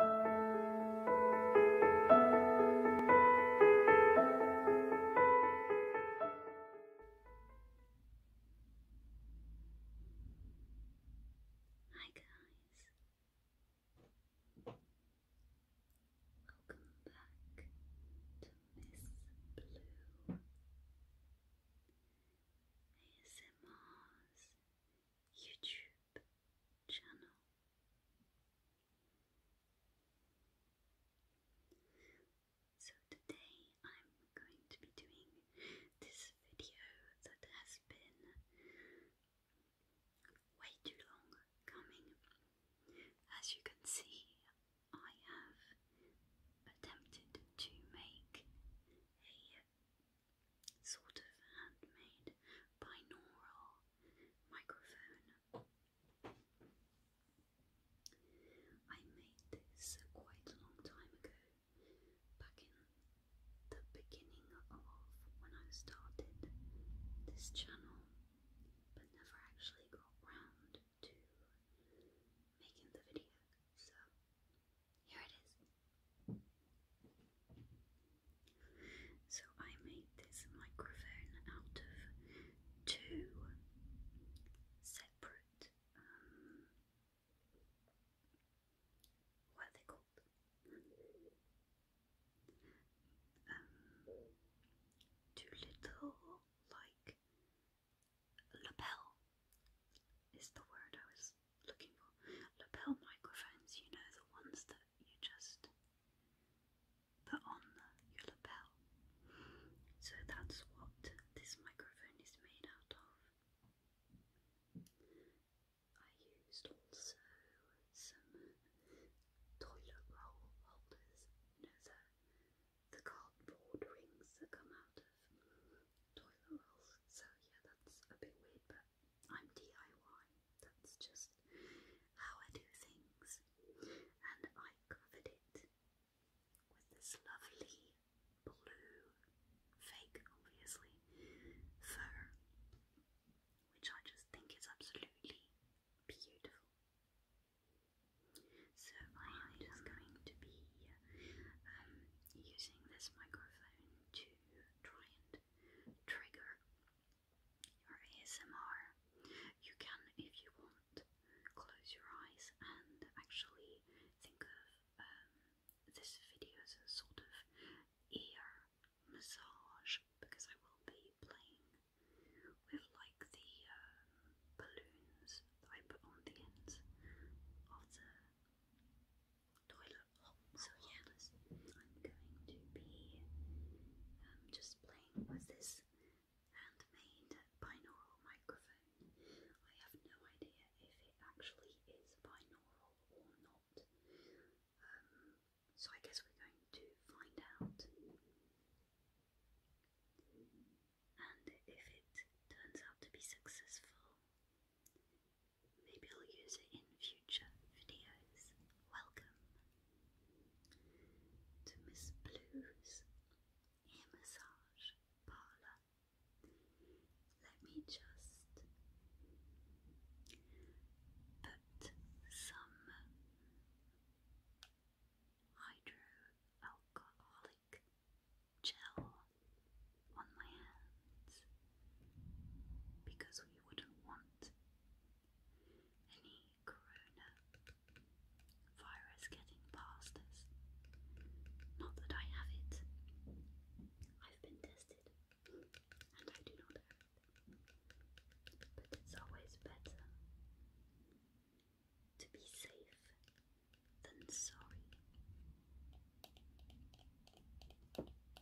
Hi guys. Welcome back to Miss Blue ASMR's YouTube channel. So today I'm going to be doing this video that has been way too long coming. As you can see, I have attempted to make a sort of handmade binaural microphone. I made this quite a long time ago, back in the beginning of when I started this channel, but never actually got round to making the video. So, here it is. So I made this microphone out of two separate, um, what are they called? Um, two little, like, lapel is the word I was looking for lapel microphones, you know, the ones that you just put on your lapel. So that's what this microphone is made out of. I used also some toilet roll holders, you know, the, the cardboard rings that come out of toilet rolls. So, yeah, that's a bit weird, but I'm DIY. That's just how I do things. And I covered it with this lovely blue, fake obviously, fur, which I just think is absolutely beautiful. So I am just going to be um, using this microphone to try and trigger your ASMR. You can, if you want, close your eyes and actually think of um, this video as a sort of ear massage because I will be playing with like the um, balloons that I put on the ends of the so yeah, I'm going to be um, just playing with this handmade binaural microphone. I have no idea if it actually is binaural or not. Um, so I guess we're going to find out. And if it turns out to be successful, Maybe I'll use it in future videos. Welcome to Miss Blue's Ear Massage Parlour. Let me just put some hydroalcoholic gel on my hands because we wouldn't want any corona getting past us. Not that I have it, I've been tested and I do not have it, but it's always better to be safe than sorry.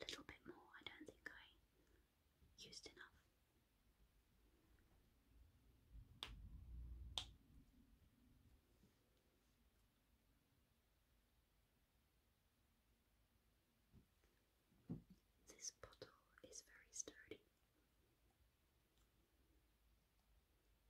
little bit more. I don't think I used enough. This bottle is very sturdy.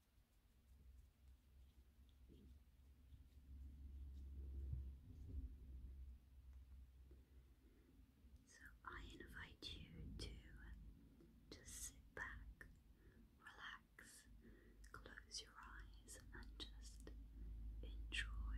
So I invite you to just sit back, relax, close your eyes, and just enjoy.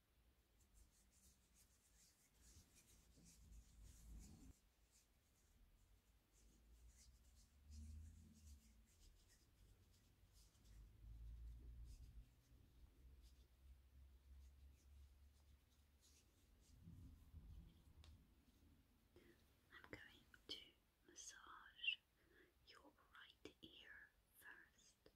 I'm going to massage your right ear first.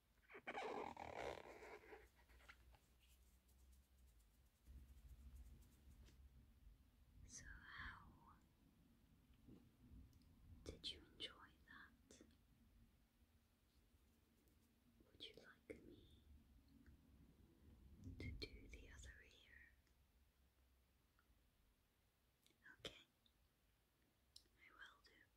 So, how did you enjoy that? Would you like me to do the other ear? Okay, I will do.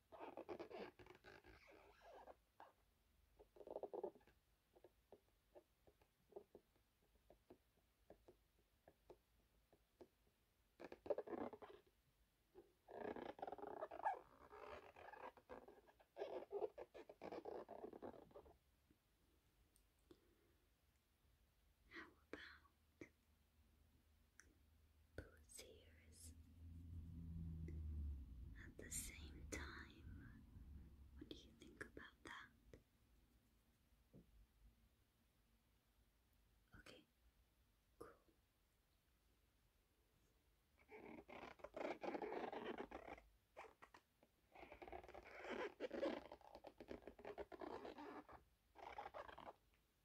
How about those ears. At the same time, what do you think about that? Okay, cool.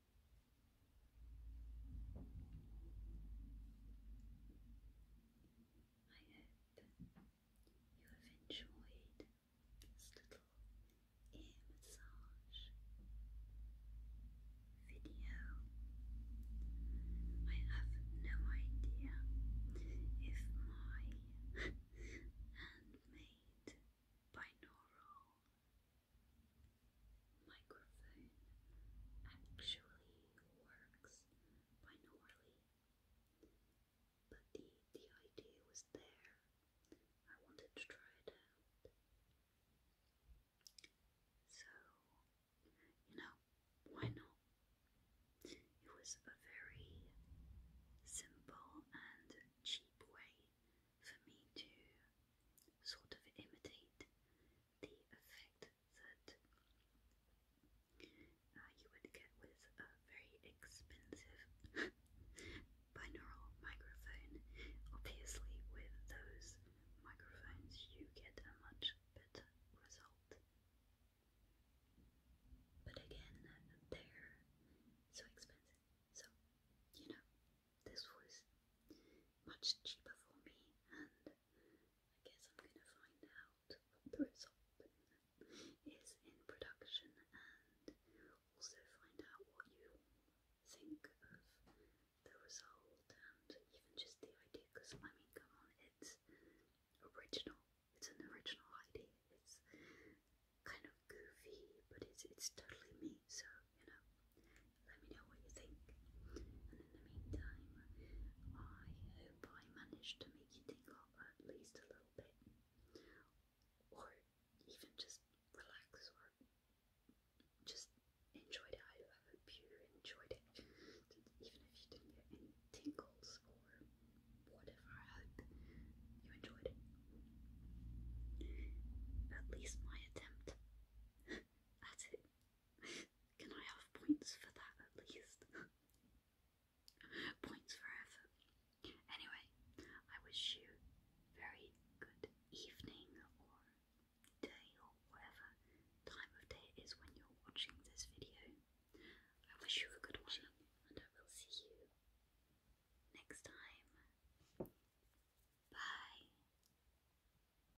I hope you have enjoyed this little ear massage video. I have no idea if my handmade binaural microphone actually works binaurally, but the, the idea was there. I wanted to try it out. So, you know, why not? It was a very simple and cheap way for me to sort of imitate the effect that uh, you would get with a very expensive binaural microphone. Obviously, with those microphones, you get a much better result. But again, they're so expensive. So, you know, this was much cheaper for me, and I guess I'm going to find out what the result is in production and also find out what you think of the result and even just the idea because I mean, come on, it's original. It's an original idea. It's kind of goofy, but it's it's totally me. So you know, let me know what you think. And in the meantime, I hope I managed to make you tingle at least a little bit. Or even just relax or just enjoyed it. I hope you enjoyed it. Even if you didn't get any tingles or whatever, I hope you enjoyed it. At least my attempt at it. Can I have points for that at least? points for effort. Anyway, I wish you very good evening or day or whatever time of day it is when you're watching this video. I wish you a good one and I will see you next time. Bye.